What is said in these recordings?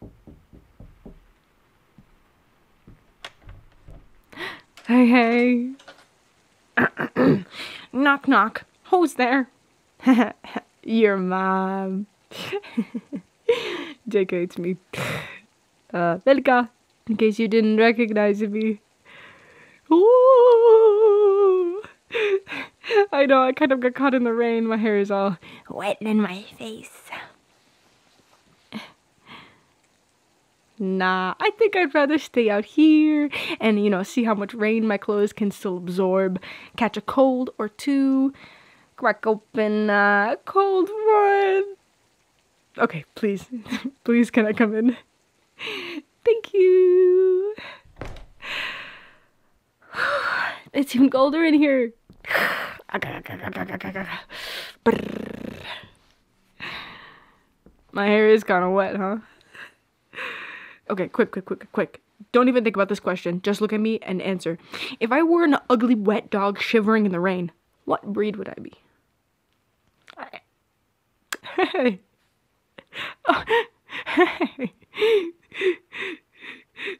Hey, hey. knock, knock. Who's there? Your mom. JK, it's me. Velka. Uh, in case you didn't recognize me. I know, I kind of got caught in the rain. My hair is all wet in my face. Nah, I think I'd rather stay out here and, you know, see how much rain my clothes can still absorb, catch a cold or two, crack open a cold one. Okay, please, please can I come in? Thank you. it's even colder in here. My hair is kind of wet, huh? Okay, quick, quick, quick, quick. Don't even think about this question. Just look at me and answer. If I were an ugly, wet dog shivering in the rain, what breed would I be? Oh, hey.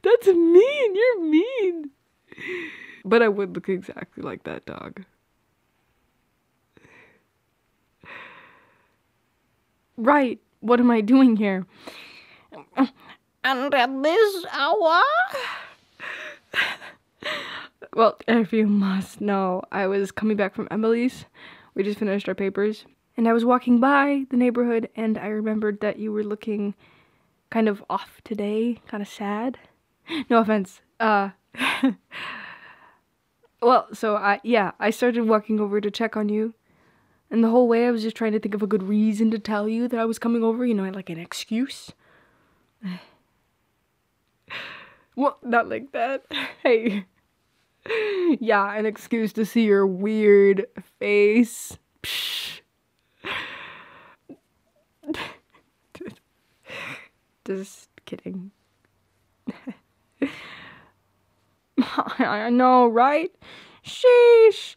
That's mean. You're mean. But I would look exactly like that dog. Right. What am I doing here? And at this hour? well, if you must know, I was coming back from Emily's. We just finished our papers. And I was walking by the neighborhood and I remembered that you were looking kind of off today, kind of sad. No offense. Uh, well, so I, yeah, I started walking over to check on you. And the whole way I was just trying to think of a good reason to tell you that I was coming over, you know, like an excuse. well, not like that. hey. yeah, an excuse to see your weird face. Psh. Just kidding. I know, right? Sheesh!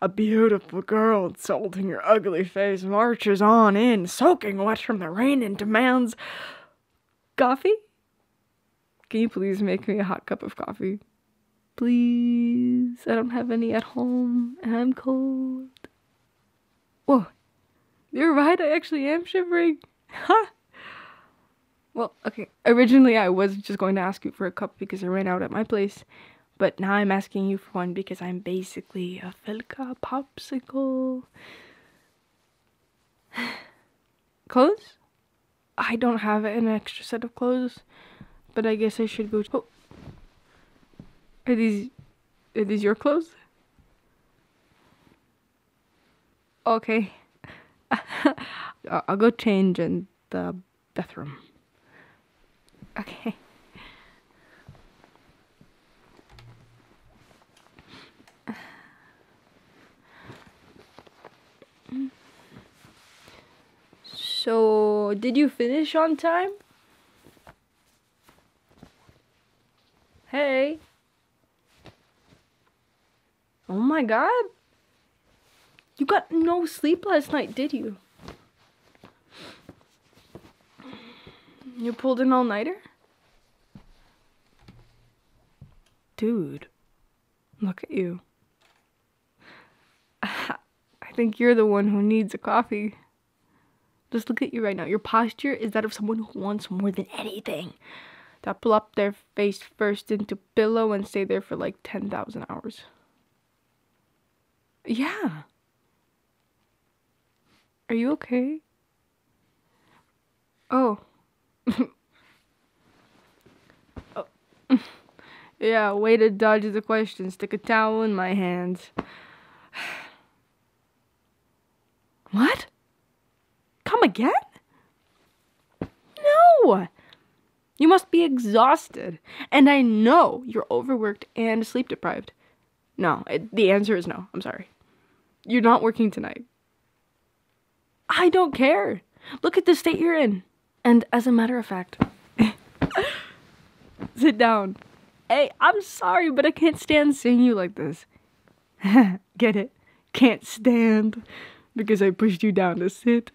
A, beautiful girl insulting your ugly face marches on in, soaking wet from the rain, and demands. Coffee? Can you please make me a hot cup of coffee? Please. I don't have any at home and I'm cold. Whoa. You're right, I actually am shivering. Huh? Well, okay. Originally, I was just going to ask you for a cup because I ran out at my place, but now I'm asking you for one because I'm basically a Felka popsicle. Close? I don't have an extra set of clothes, but I guess I should go. Oh. Are these, are these your clothes? Okay. I'll go change in the bathroom. Okay. So, did you finish on time? Hey. Oh my god. You got no sleep last night, did you? You pulled an all-nighter? Dude, look at you. I think you're the one who needs a coffee. Just look at you right now. Your posture is that of someone who wants more than anything. to will plop their face first into pillow and stay there for like 10,000 hours. Yeah. Are you okay? Oh, yeah, way to dodge the question. Stick a towel in my hands. what? Come again? No! You must be exhausted. And I know you're overworked and sleep deprived. No, the answer is no. I'm sorry. You're not working tonight. I don't care. Look at the state you're in. And as a matter of fact, sit down. Hey, I'm sorry, but I can't stand seeing you like this. Get it? Can't stand because I pushed you down to sit.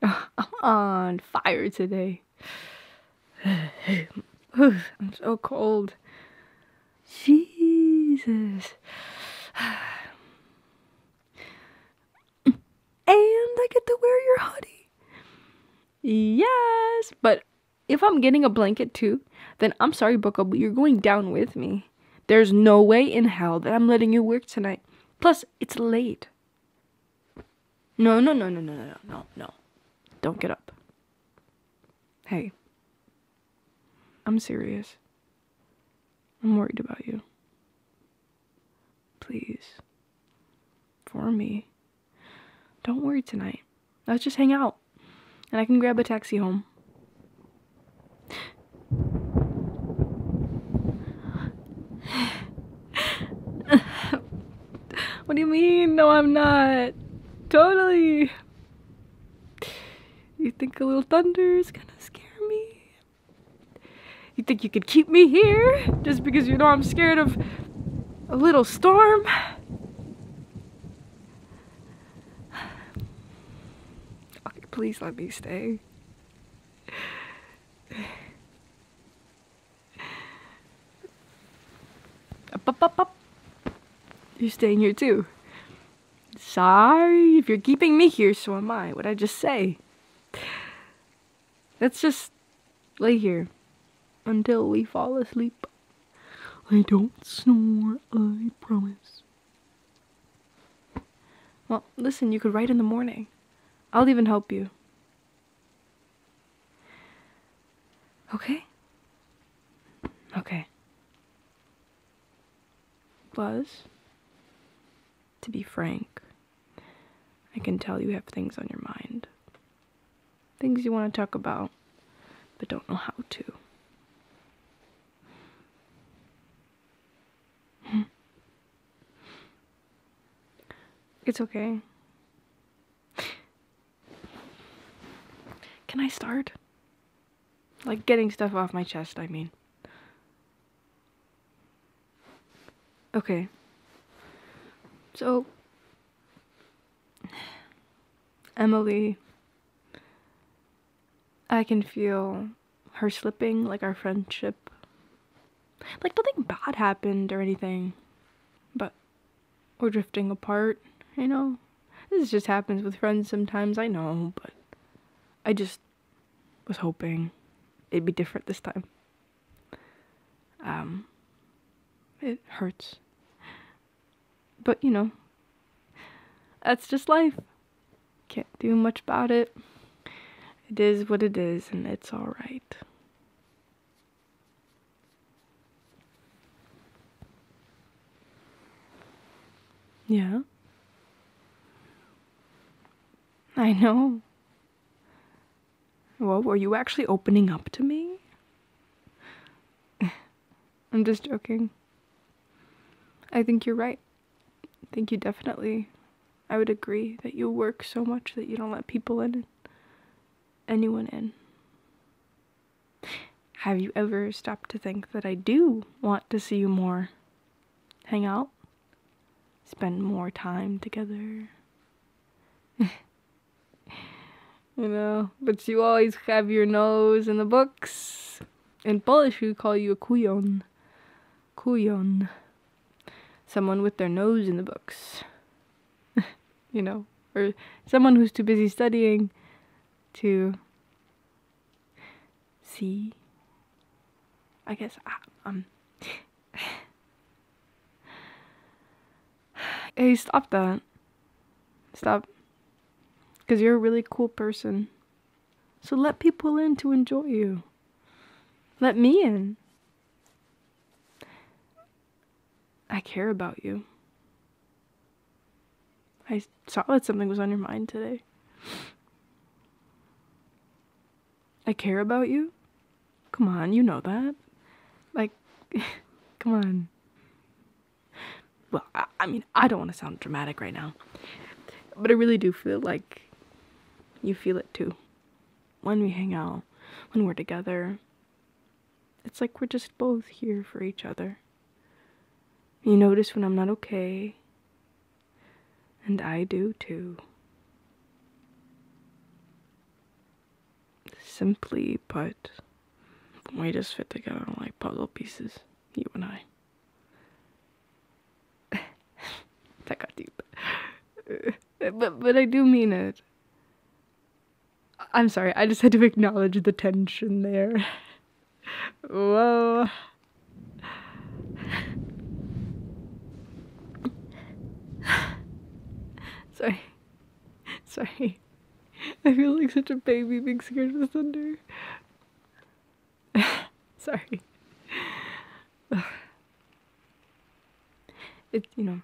I'm on fire today. I'm so cold. Jesus and I get to wear your hoodie. Yes, but if I'm getting a blanket too, then I'm sorry, Boko, but you're going down with me. There's no way in hell that I'm letting you work tonight. Plus, it's late. No, no, no, no, no, no, no, no. Don't get up. Hey, I'm serious. I'm worried about you. Please. For me. Don't worry tonight. Let's just hang out. And I can grab a taxi home. what do you mean? No, I'm not. Totally. You think a little thunder is gonna scare me? You think you could keep me here just because you know I'm scared of a little storm? please let me stay. You're staying here too. Sorry if you're keeping me here, so am I. what did I just say? Let's just lay here until we fall asleep. I don't snore, I promise. Well, listen, you could write in the morning. I'll even help you. Okay? Okay. Buzz? to be frank. I can tell you have things on your mind, things you want to talk about, but don't know how to. Hmm. It's okay. Can I start? Like getting stuff off my chest, I mean. Okay. So, Emily, I can feel her slipping, like our friendship. Like, nothing bad happened or anything, but we're drifting apart, you know? This just happens with friends sometimes, I know, but I just was hoping it'd be different this time. Um, it hurts. But you know, that's just life. Can't do much about it. It is what it is, and it's alright. Yeah. I know. Well, were you actually opening up to me? I'm just joking. I think you're right. I think you definitely. I would agree that you work so much that you don't let people in, anyone in. Have you ever stopped to think that I do want to see you more? Hang out? spend more time together. you know, but you always have your nose in the books. In Polish, we call you a kujon. Kujon. Someone with their nose in the books. you know, or someone who's too busy studying to see. I guess I, um. hey, stop that. Stop. Because you're a really cool person. So let people in to enjoy you. Let me in. I care about you. I saw that something was on your mind today. I care about you. Come on, you know that. Like, come on. Well, I, mean, I don't want to sound dramatic right now, but I really do feel like you feel it too. When we hang out, when we're together, it's like we're just both here for each other. You notice when I'm not okay, and I do too. Simply put, we just fit together like puzzle pieces, you and I. that got deep. but but I do mean it. I'm sorry, I just had to acknowledge the tension there. Whoa. Sorry. Sorry. I feel like such a baby being scared of the thunder. Sorry. It's, you know,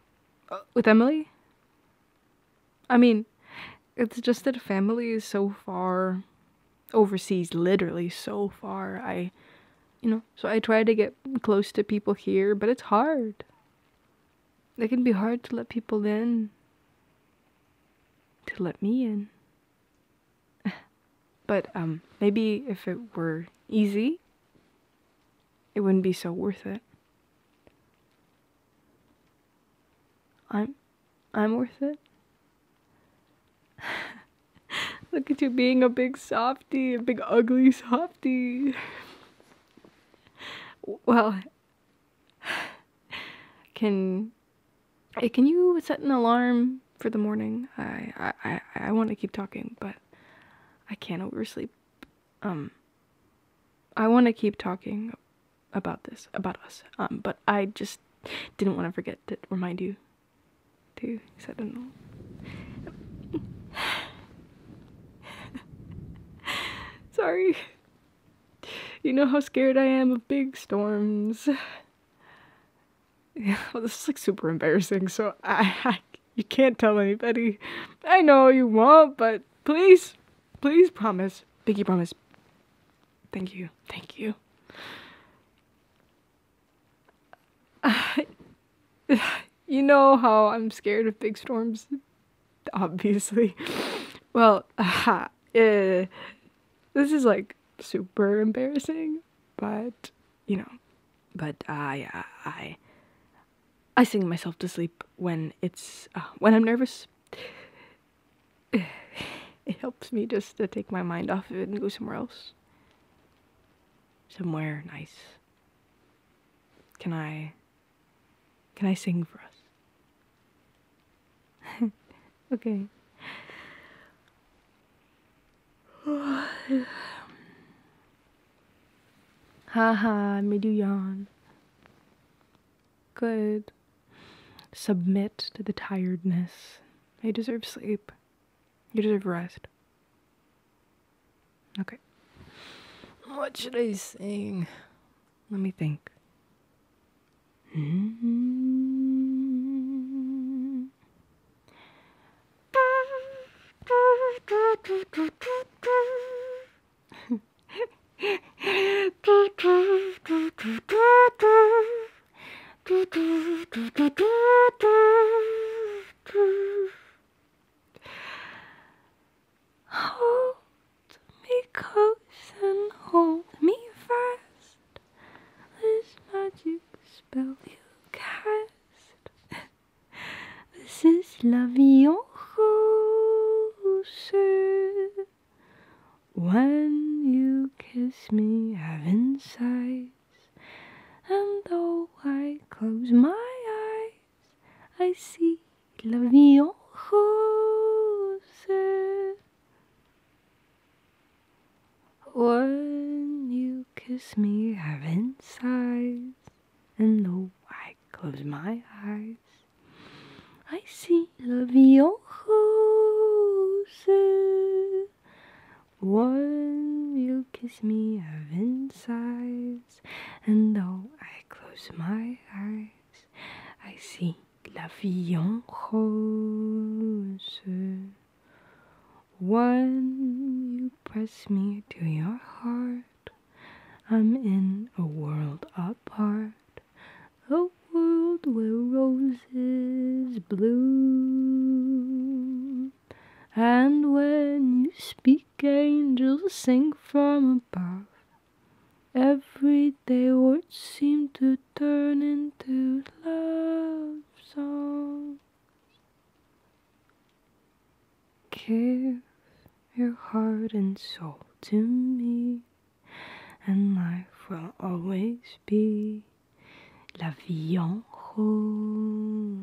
with Emily? I mean, it's just that family is so far overseas, literally so far. I, you know, so I try to get close to people here, but it's hard. It can be hard to let people in, to let me in. but um, maybe if it were easy, it wouldn't be so worth it. I'm I'm worth it. Look at you being a big softy, a big ugly softy. well, can eh, can you set an alarm for the morning? I I I, I want to keep talking, but I can't oversleep. Um, I want to keep talking about this, about us. Um, but I just didn't want to forget to remind you do? Du said no. Sorry. You know how scared I am of big storms. Yeah, well, this is like super embarrassing, so I, I you can't tell anybody. I know you won't, but please, please promise. Biggie promise. Thank you. Thank you. I, you know how I'm scared of big storms, obviously. Well, uh, this is like super embarrassing, but you know, but I, I, I sing myself to sleep when it's uh, when I'm nervous. It helps me just to take my mind off of it and go somewhere else somewhere nice. Can I can I sing for us? okay. Haha, made you yawn. Good. Submit to the tiredness. I deserve sleep. You deserve rest. Okay. What should I sing? Let me think. Mm-hmm. Hold me close and hold me fast. This magic spell you cast. this is la vie en rose. When you kiss me, I've insight and though I close my eyes, I see La Vie When you kiss me, heaven sighs, and though I close my eyes, I see La Vie en when you kiss me, i heaven sighs, and though I close my eyes, I see la vie en rose. One, you press me to your heart, I'm in a world apart, a world where roses bloom. And when you speak, angels sing from above. Everyday words seem to turn into love songs. Give your heart and soul to me, and life will always be la vie en rose.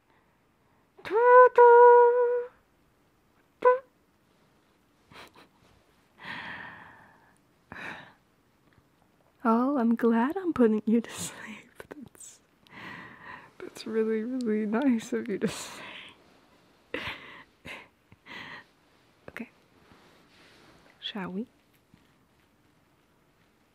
Oh, I'm glad I'm putting you to sleep. That's that's really, really nice of you to say. okay. Shall we?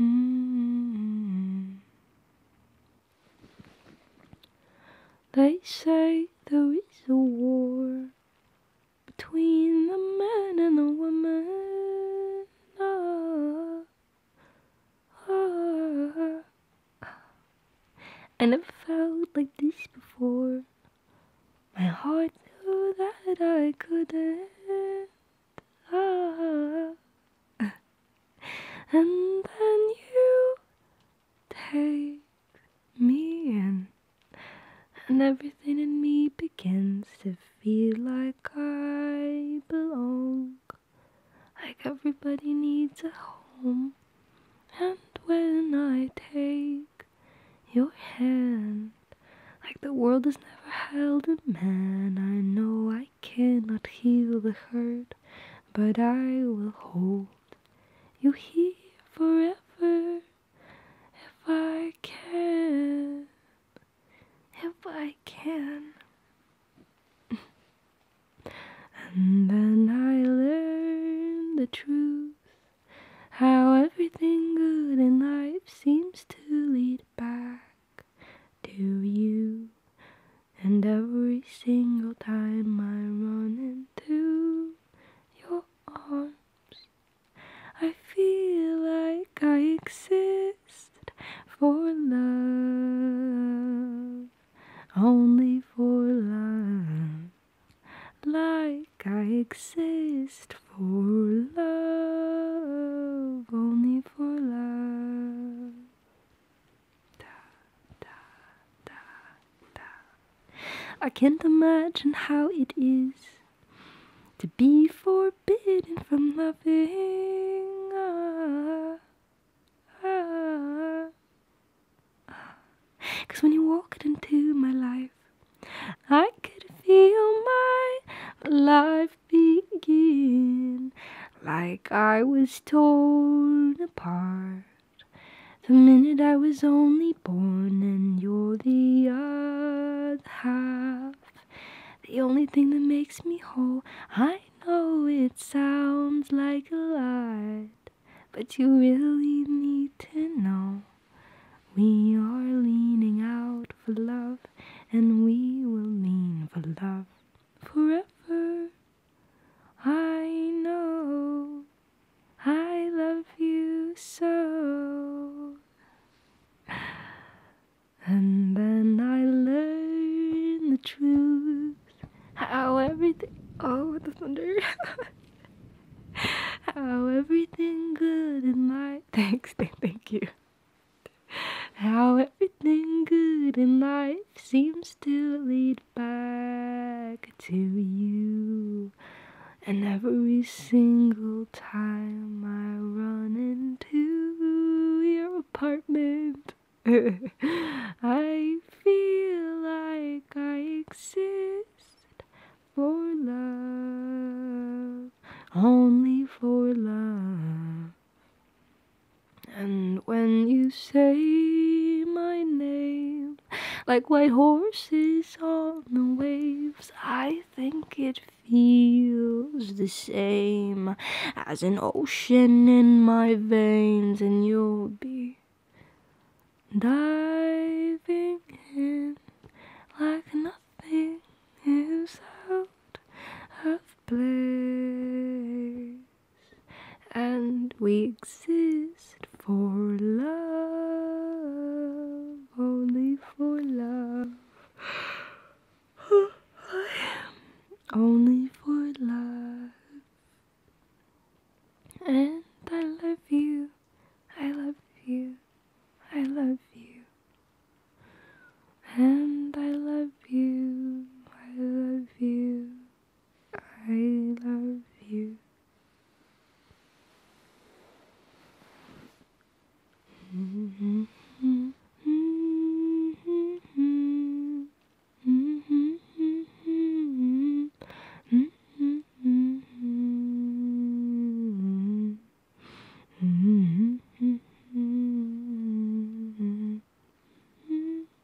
Mm-hmm. They say there is a war between the man and the woman. Ah, ah, I never felt like this before. My heart knew that I couldn't and then you take me in, and everything in me begins to feel like I belong, like everybody needs a home. And when I take your hand, like the world has never held a man, I know I I cannot heal the hurt, but I will hold you here forever if I can. If I can. and then I learn the truth how everything good in life seems to lead back to you. And every single time I run into your arms, I feel like I exist for love, only for love, like I exist for love, only for love. I can't imagine how it is to be forbidden from loving. Cause when you walked into my life, I could feel my life begin like I was torn apart. The minute I was only born, and you're the other half. The only thing that makes me whole. I know it sounds like a lie, but you really need to know. We are leaning out for love, and we will lean for love forever. I know I love you so. And then I learned the truth. How everything. Oh, the thunder. how everything good and light. Thanks, thank you. How everything good in life seems to lead back to you. And every single time I run into your apartment, I feel like I exist for love, only for love. And when you say my name, like white horses on the waves, I think it feels the same as an ocean in my veins, and you'll be diving in like nothing is out of place and we exist for love, only for love. I am only for love. And I love you. I love you. I love you. And I love you, I love you, I love you.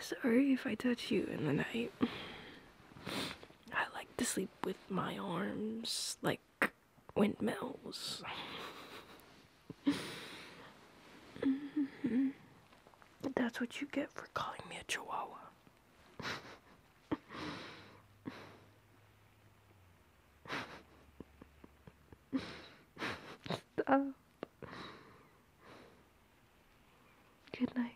Sorry if I touch you in the night. I like to sleep with my arms like windmills. That's what you get for calling me a chihuahua. Stop. Good night.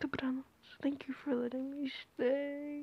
Sopranos, thank you for letting me stay.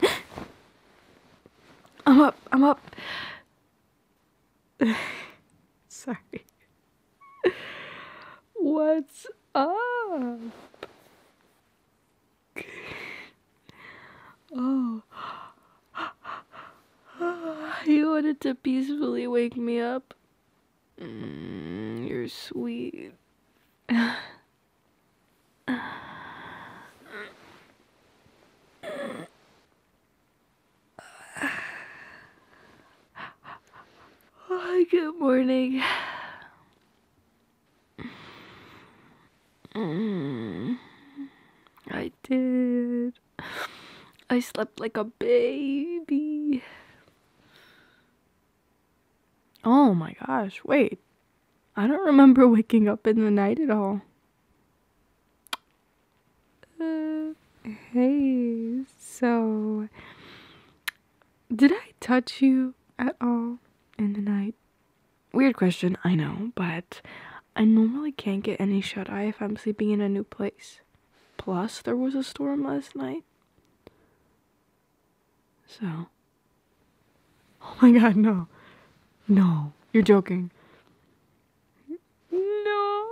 I'm up. I'm up. Sorry. What's up? Oh. You wanted to peacefully wake me up? Mm, you're sweet. good morning. Mm, I did. I slept like a baby. Oh my gosh, wait. I don't remember waking up in the night at all hey, so did I touch you at all in the night? Weird question, I know, but I normally can't get any shut eye if I'm sleeping in a new place. Plus, there was a storm last night. So. Oh my god, no. No, you're joking. No,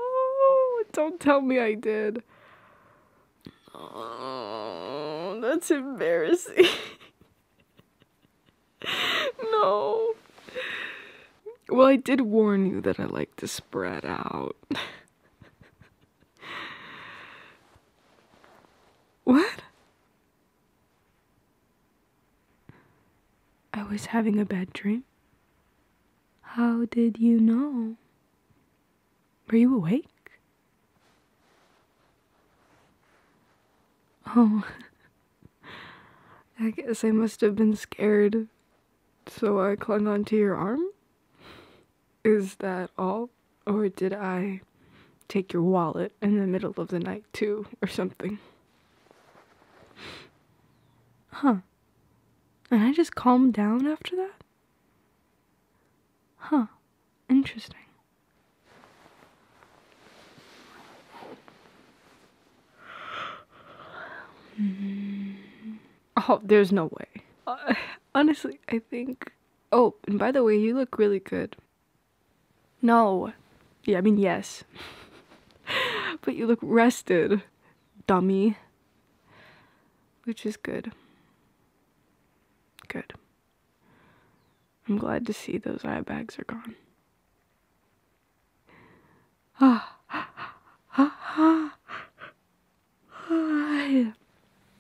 don't tell me I did. Oh, that's embarrassing. no. Well, I did warn you that I like to spread out. what? I was having a bad dream. How did you know? Were you awake? Oh, I guess I must have been scared, so I clung onto your arm? Is that all? Or did I take your wallet in the middle of the night, too, or something? Huh. And I just calmed down after that? Huh. Interesting. Hmm. Oh, there's no way. Uh, honestly, I think. Oh, and by the way, you look really good. No. Yeah, I mean, yes. but you look rested, dummy. Which is good. Good. I'm glad to see those eye bags are gone.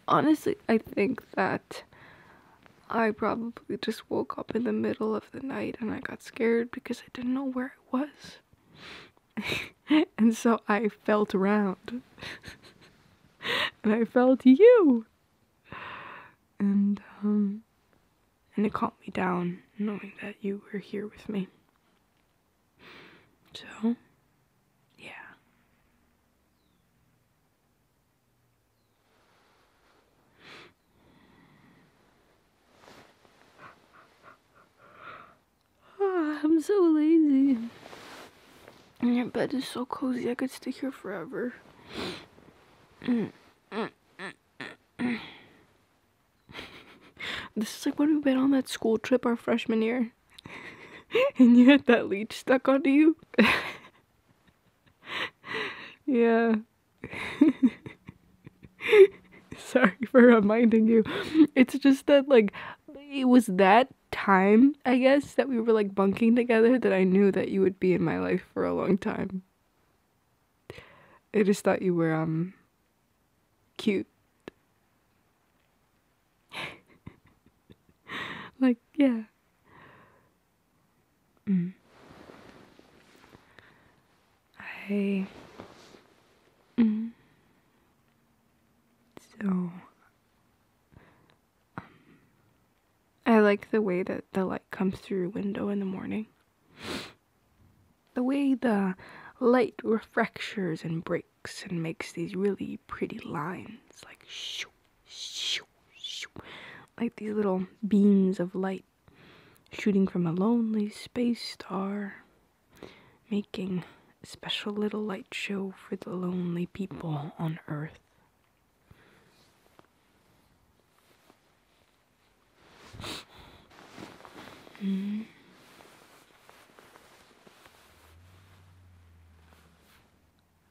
Honestly, I think that I probably just woke up in the middle of the night and I got scared because I didn't know where I was. and so I felt around. and I felt you. And um and it calmed me down knowing that you were here with me. So, yeah. Ah, I'm so lazy. And your bed is so cozy, I could stay here forever. this is like when we went on that school trip our freshman year. and you had that leech stuck onto you. yeah. Sorry for reminding you. It's just that, like, it was that time, I guess, that we were like bunking together that I knew that you would be in my life for a long time. I just thought you were, um, cute. like, yeah. Mm. I. Mm-hmm. so. Um, I like the way that the light comes through your window in the morning. The way the light refractures and breaks and makes these really pretty lines, like shoo, shoo, shoo, like these little beams of light shooting from a lonely space star, making a special little light show for the lonely people on Earth. Hmm.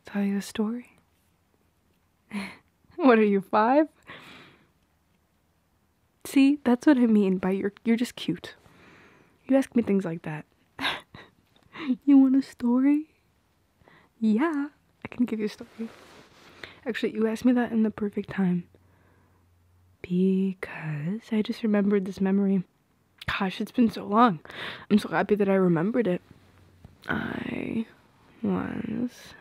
Tell you a story? what are you, five? See, that's what I mean by you're you're just cute. You ask me things like that. you want a story? Yeah, I can give you a story. Actually, you asked me that in the perfect time. Because I just remembered this memory. Gosh, it's been so long. I'm so happy that I remembered it. I was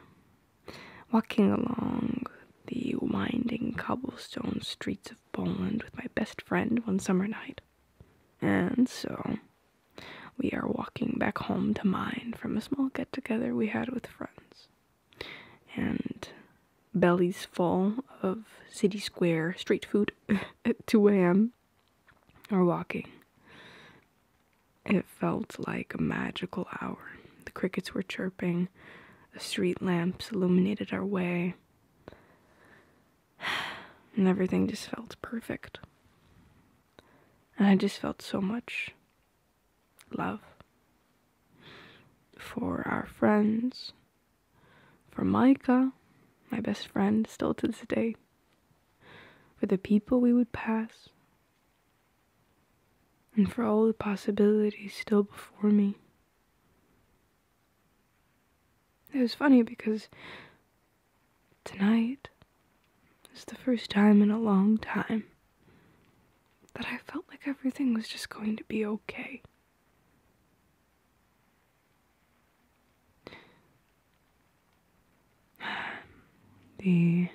Walking along the winding cobblestone streets of Poland with my best friend one summer night. And so, we are walking back home to mine from a small get together we had with friends. And bellies full of city square street food at 2 a.m. are walking. It felt like a magical hour. The crickets were chirping. The street lamps illuminated our way. And everything just felt perfect. And I just felt so much love for our friends, for Micah, my best friend still to this day, for the people we would pass, and for all the possibilities still before me. It was funny because tonight is the first time in a long time that I felt like everything was just going to be okay. The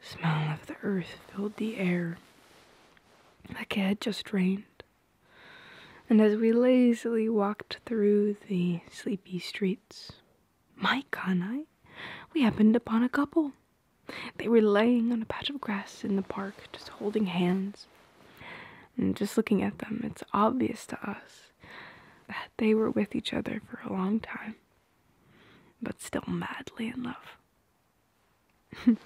smell of the earth filled the air like it had just rained. And as we lazily walked through the sleepy streets, Mike and I, we happened upon a couple. They were laying on a patch of grass in the park, just holding hands. And just looking at them, it's obvious to us that they were with each other for a long time, but still madly in love.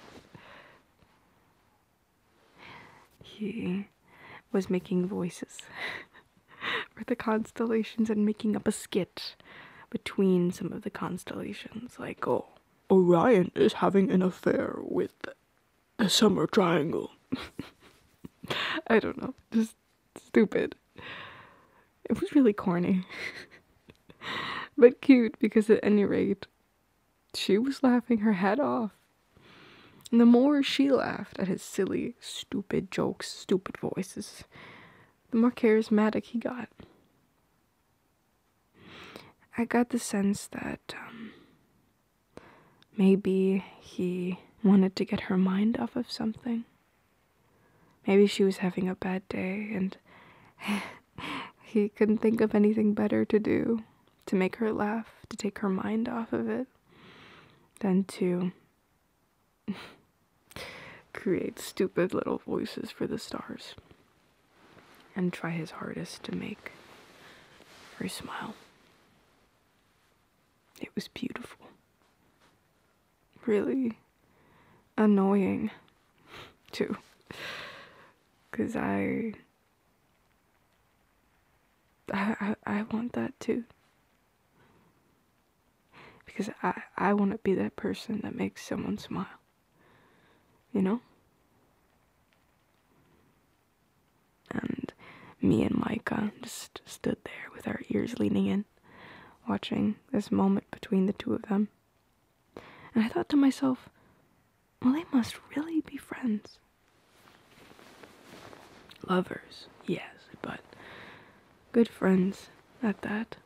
he was making voices for the constellations and making up a skit between some of the constellations, like, oh, Orion is having an affair with the summer triangle. I don't know, just stupid. It was really corny. but cute because at any rate, she was laughing her head off. And the more she laughed at his silly, stupid jokes, stupid voices, the more charismatic he got. I got the sense that um, maybe he wanted to get her mind off of something. Maybe she was having a bad day and he couldn't think of anything better to do to make her laugh, to take her mind off of it, than to create stupid little voices for the stars and try his hardest to make her smile. It was beautiful. Really annoying too. Cause I, I, I, want that too. Because I, I want to be that person that makes someone smile. You know? And me and Micah just stood there with our ears leaning in, watching this moment between the two of them. And I thought to myself, well, they must really be friends. Lovers, yes, but good friends at that.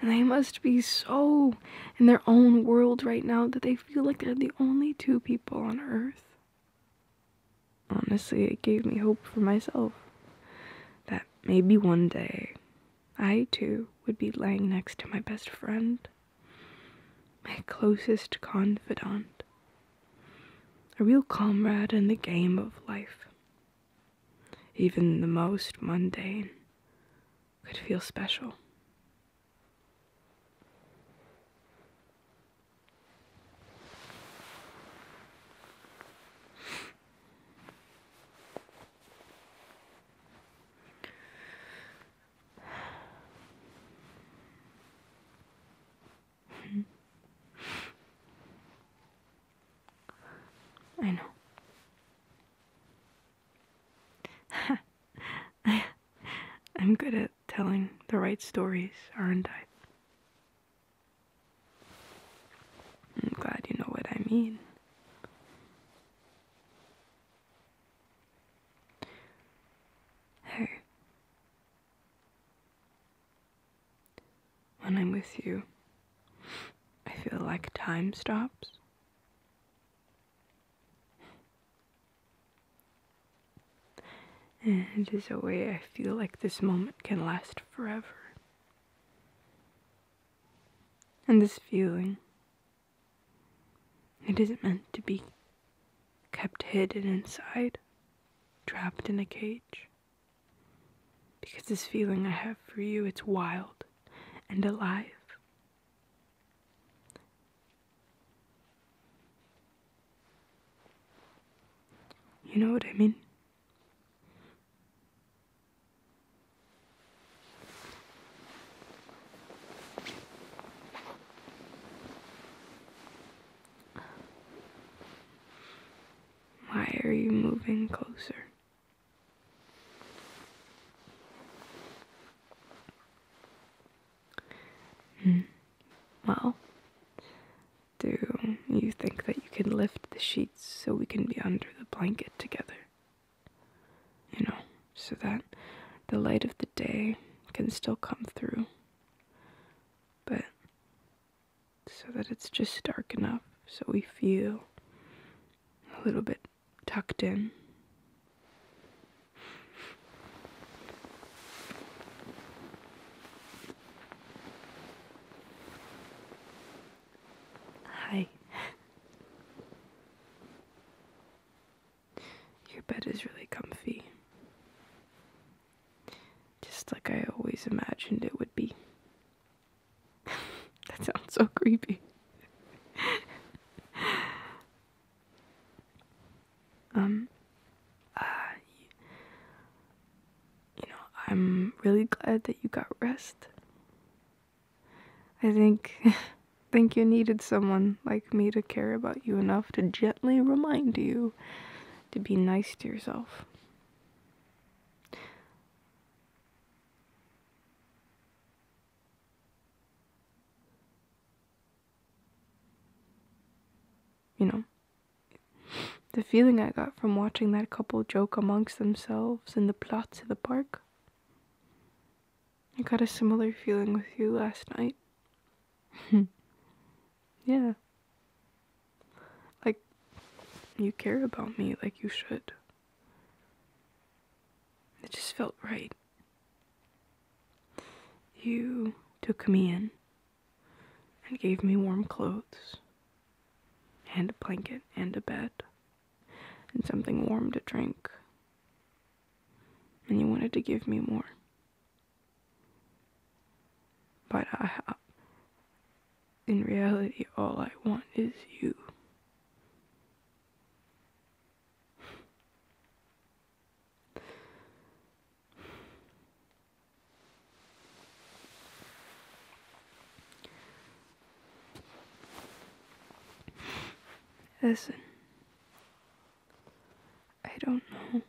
And they must be so in their own world right now that they feel like they're the only two people on earth. Honestly, it gave me hope for myself that maybe one day I too would be lying next to my best friend, my closest confidant, a real comrade in the game of life. Even the most mundane could feel special. I know. I, am good at telling the right stories, aren't I? I'm glad you know what I mean. Hey. When I'm with you, I feel like time stops. And it is a way I feel like this moment can last forever. And this feeling, it isn't meant to be kept hidden inside, trapped in a cage. Because this feeling I have for you, it's wild and alive. You know what I mean? Why are you moving closer? Hmm. Well, do you think that you can lift the sheets so we can be under the blanket together? you know, so that the light of the day can still come through, but so that it's just dark enough so we feel a little bit tucked in. Hi. Your bed is really comfy. Just like I always imagined it would be. that sounds so creepy. um, uh, you know, I'm really glad that you got rest. I think think you needed someone like me to care about you enough to gently remind you to be nice to yourself. You know, the feeling I got from watching that couple joke amongst themselves in the plots of the park I got a similar feeling with you last night. yeah. Like, you care about me like you should. It just felt right. You took me in and gave me warm clothes and a blanket and a bed and something warm to drink. And you wanted to give me more. But I, in reality, all I want is you. Listen. I don't know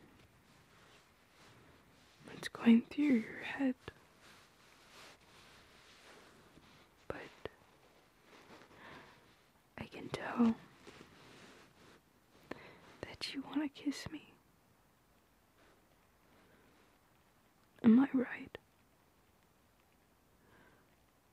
what's going through your head. But I can tell that you want to kiss me. Am I right?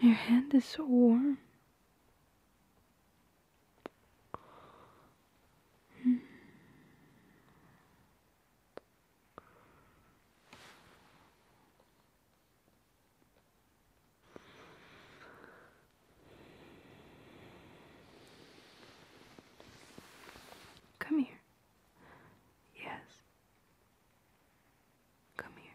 your hand is so warm. Come here. Yes. Come here.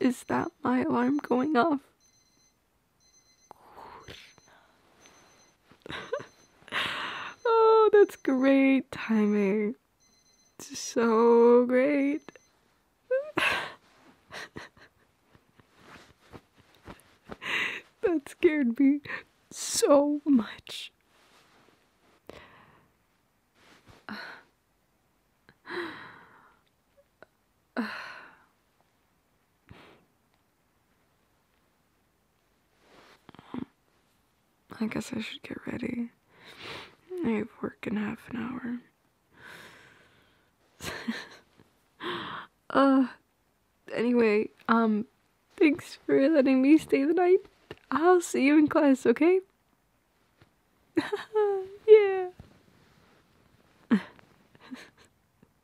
Is that my alarm going off? oh, that's great timing. So great. that scared me so much. I guess I should get ready. I have work in half an hour. uh, anyway, um, thanks for letting me stay the night. I'll see you in class, okay? yeah.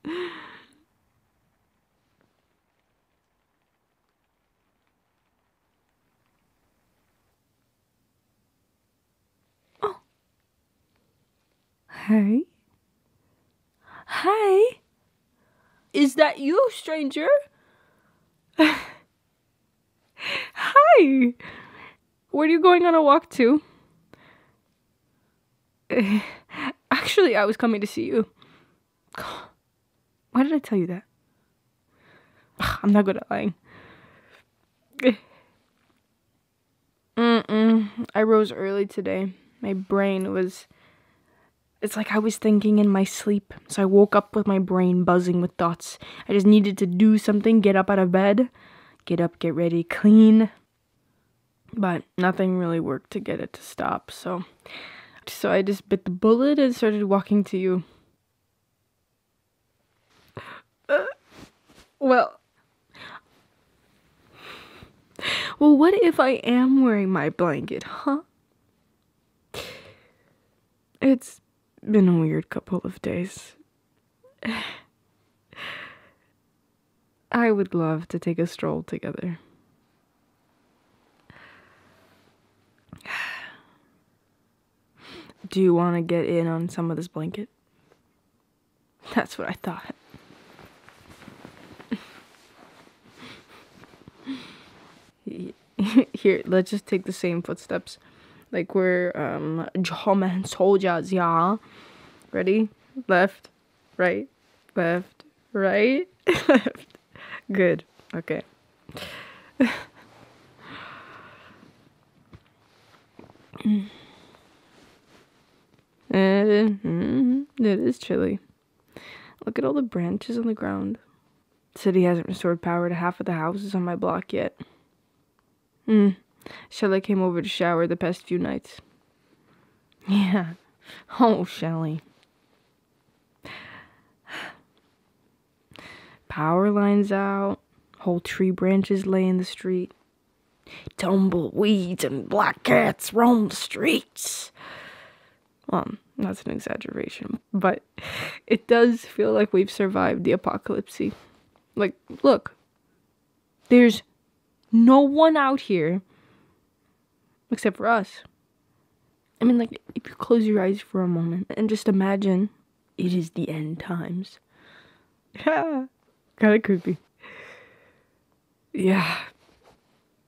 Oh. Hey. Hey. Is that you, stranger? Hi. Where are you going on a walk to? Actually, I was coming to see you. why did I tell you that? I'm not good at lying. I rose early today. My brain was. It's like I was thinking in my sleep. So I woke up with my brain buzzing with thoughts. I just needed to do something, get up out of bed, get up, get ready, clean. But nothing really worked to get it to stop, so so I just bit the bullet and started walking to you. Uh, well. Well, what if I am wearing my blanket, huh? It's been a weird couple of days. I would love to take a stroll together. Do you want to get in on some of this blanket? That's what I thought. Here, let's just take the same footsteps. Like we're um German soldiers, yeah. Ready? Left, right, left, right, left. Good. Okay. Uh, hmm. it is chilly. Look at all the branches on the ground. city hasn't restored power to half of the houses on my block yet. Hmm. Shelley came over to shower the past few nights. Yeah. Oh, Shelley. Power lines out, whole tree branches lay in the street. Tumbleweeds and black cats roam the streets. Um, that's an exaggeration, but it does feel like we've survived the apocalypse. Like, look, there's no one out here except for us. I mean, like, if you close your eyes for a moment and just imagine it is the end times. kind of creepy. Yeah.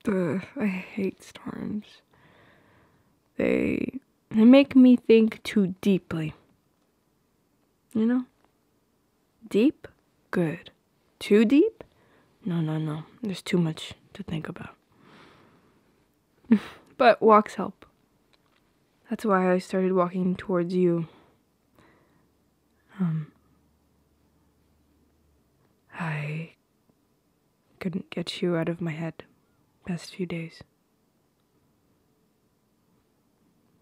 I hate storms. They they make me think too deeply. You know? Deep? Good. Too deep? No, no, no. There's too much to think about. but walks help. That's why I started walking towards you. Um, I couldn't get you out of my head past few days.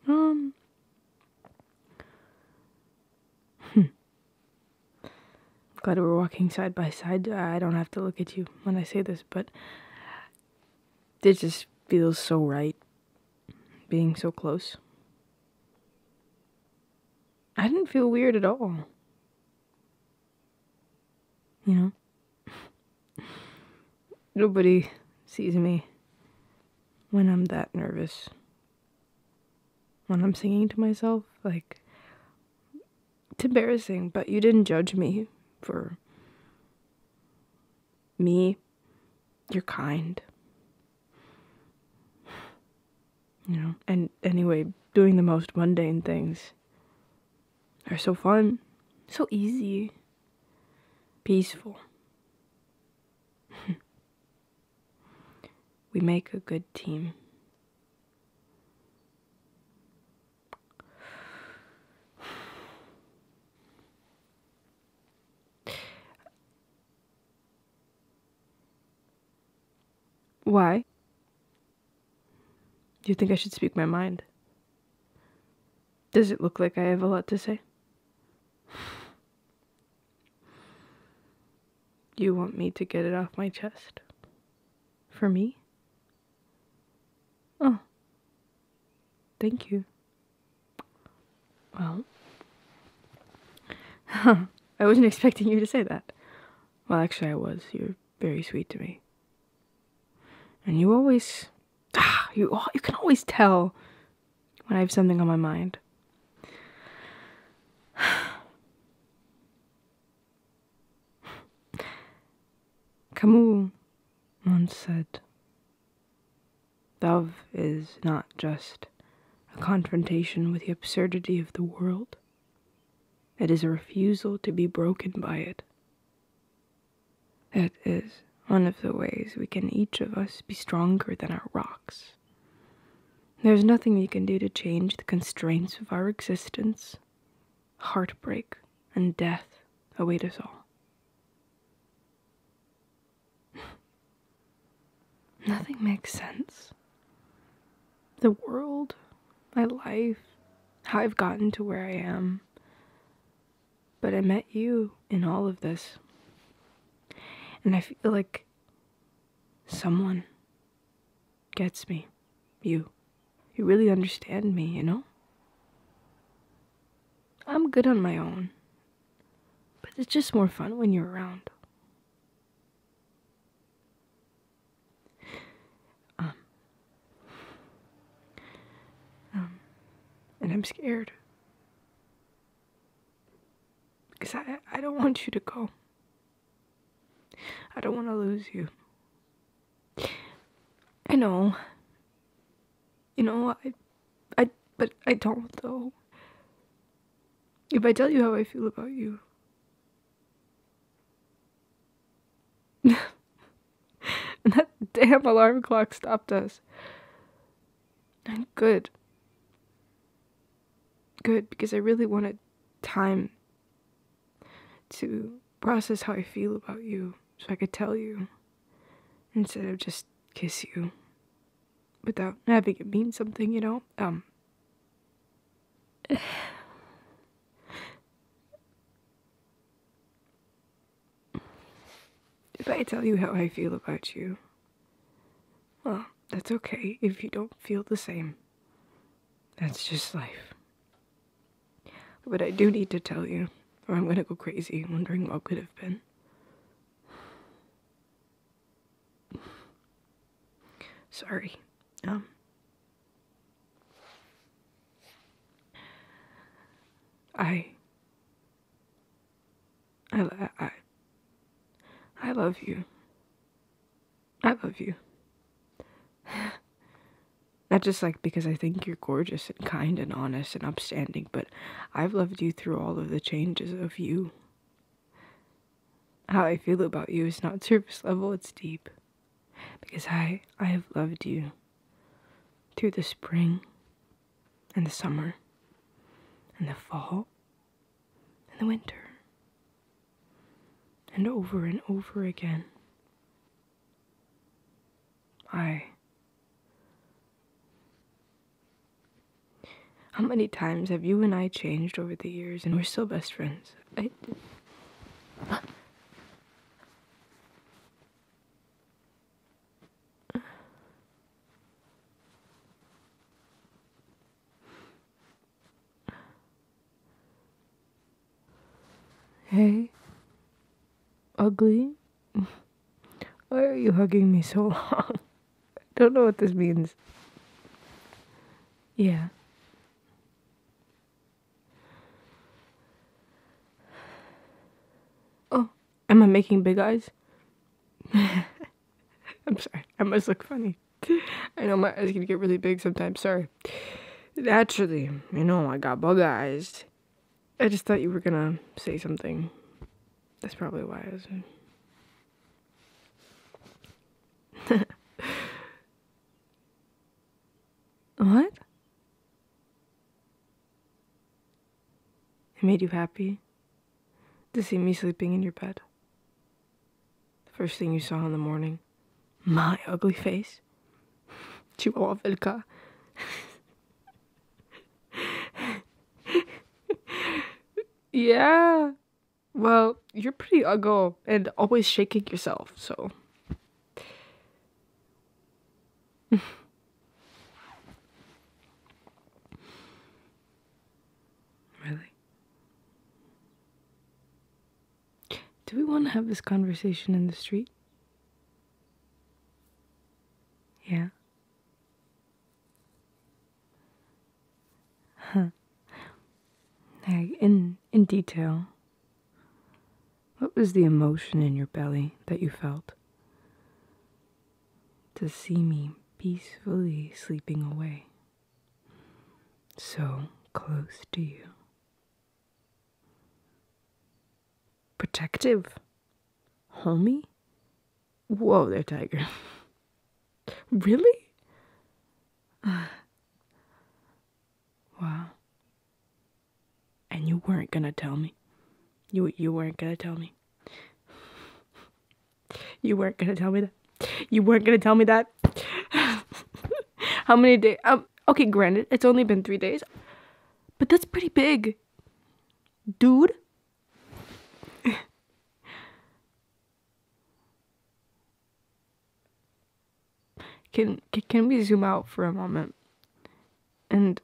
Um. Hmm. I'm glad we're walking side by side. Uh, I don't have to look at you when I say this, but it just feels so right being so close. I didn't feel weird at all. You know? Nobody sees me when I'm that nervous. When I'm singing to myself, like, it's embarrassing, but you didn't judge me for me. You're kind. You know, and anyway, doing the most mundane things are so fun, so easy, peaceful. we make a good team. Why? Do you think I should speak my mind? Does it look like I have a lot to say? You want me to get it off my chest? For me? Oh. Thank you. Well. I wasn't expecting you to say that. Well, actually, I was. You're very sweet to me. And you always. Ah, you, you can always tell when I have something on my mind. Camus once said, Love is not just a confrontation with the absurdity of the world, it is a refusal to be broken by it. It is one of the ways we can each of us be stronger than our rocks. There's nothing we can do to change the constraints of our existence, heartbreak, and death await us all. Nothing makes sense. The world, my life, how I've gotten to where I am. But I met you in all of this. And I feel like someone gets me. You. You really understand me, you know? I'm good on my own. But it's just more fun when you're around. Um. Um. And I'm scared. Because I, I don't want you to go. I don't want to lose you. I know. You know, I, I, but I don't know. If I tell you how I feel about you, and that damn alarm clock stopped us. And good. Good, because I really wanted time to process how I feel about you so I could tell you instead of just kiss you without having it mean something, you know? Um. If I tell you how I feel about you, well, that's okay if you don't feel the same. That's just life. But I do need to tell you, or I'm gonna go crazy wondering what could have been. Sorry. Um. I, I, I, I love you. I love you. Not just like because I think you're gorgeous and kind and honest and upstanding, but I've loved you through all of the changes of you. How I feel about you is not surface level, it's deep. Because I, I have loved you through the spring and the summer and the fall and the winter and over and over again. I. How many times have you and I changed over the years and we're still best friends? I. Hey, ugly? Why are you hugging me so long? I don't know what this means. Yeah. Oh, am I making big eyes? I'm sorry, I must look funny. I know my eyes can get really big sometimes, sorry naturally, you know, I got bug eyes. I just thought you were gonna say something. That's probably why I was. what? It made you happy to see me sleeping in your bed. First thing you saw in the morning. My ugly face. Chihuahua Wilka. yeah. Well, you're pretty ugly and always shaking yourself, so. really? Do we want to have this conversation in the street? Yeah. Huh. In in detail. What was the emotion in your belly that you felt? To see me peacefully sleeping away, so close to you. Protective? homie. Whoa there, Tiger. really? wow. And you weren't gonna tell me. You you weren't gonna tell me. You weren't gonna tell me that. You weren't gonna tell me that. How many days? Um, okay, granted, it's only been three days, but that's pretty big. Dude. can, can we zoom out for a moment and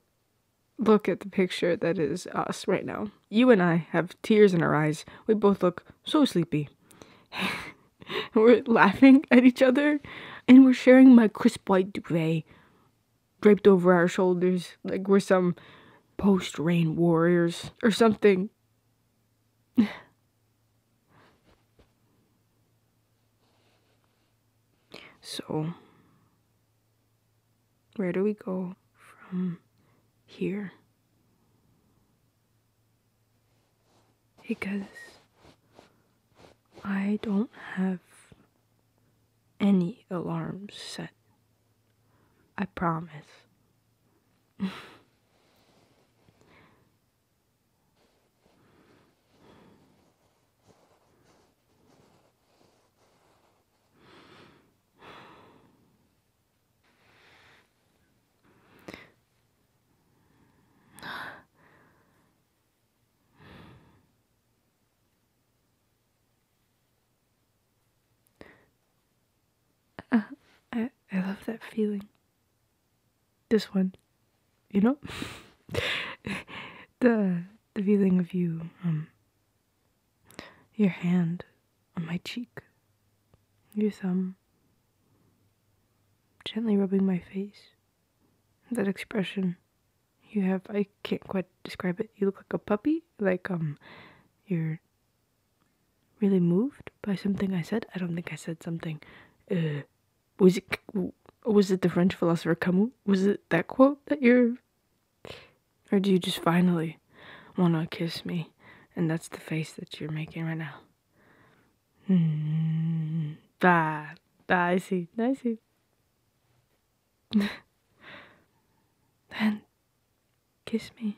look at the picture that is us right now? You and I have tears in our eyes. We both look so sleepy. we're laughing at each other and we're sharing my crisp white duvet draped over our shoulders like we're some post rain warriors or something. so, where do we go from here? because I don't have any alarms set. I promise. I, I love that feeling. This one, you know, the the feeling of you, um, your hand on my cheek, your thumb gently rubbing my face that expression you have i can't quite describe it you look like a puppy like um you're really moved by something i said i don't think i said something uh, was it was it the french philosopher camus was it that quote that you're or do you just finally want to kiss me and that's the face that you're making right now Hmm. Bye. ah, see. I see. then kiss me.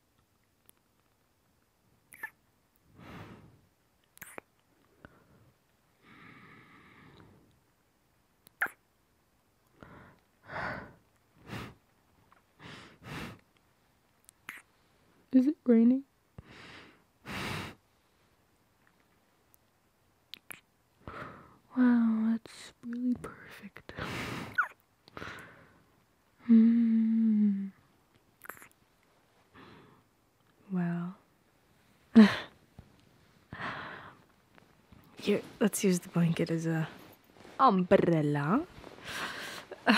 Is it raining? Wow, that's really perfect. Hmm. Well, here, let's use the blanket as a umbrella.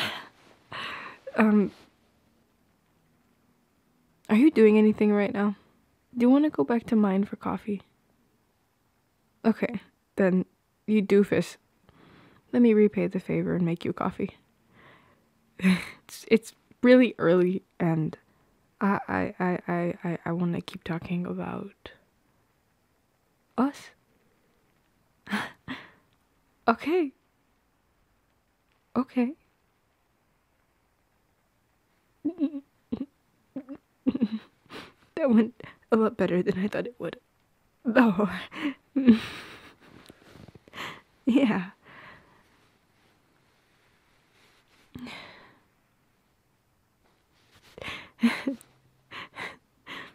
um, are you doing anything right now? Do you want to go back to mine for coffee? Okay, then you doofus. Let me repay the favor and make you coffee. it's, it's really early and I I I I I, I want to keep talking about us. okay. Okay. that went a lot better than I thought it would. Oh. yeah.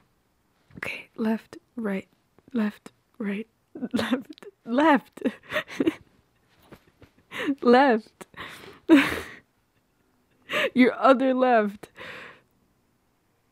okay, left, right, left, right, left, left, left. Your other left.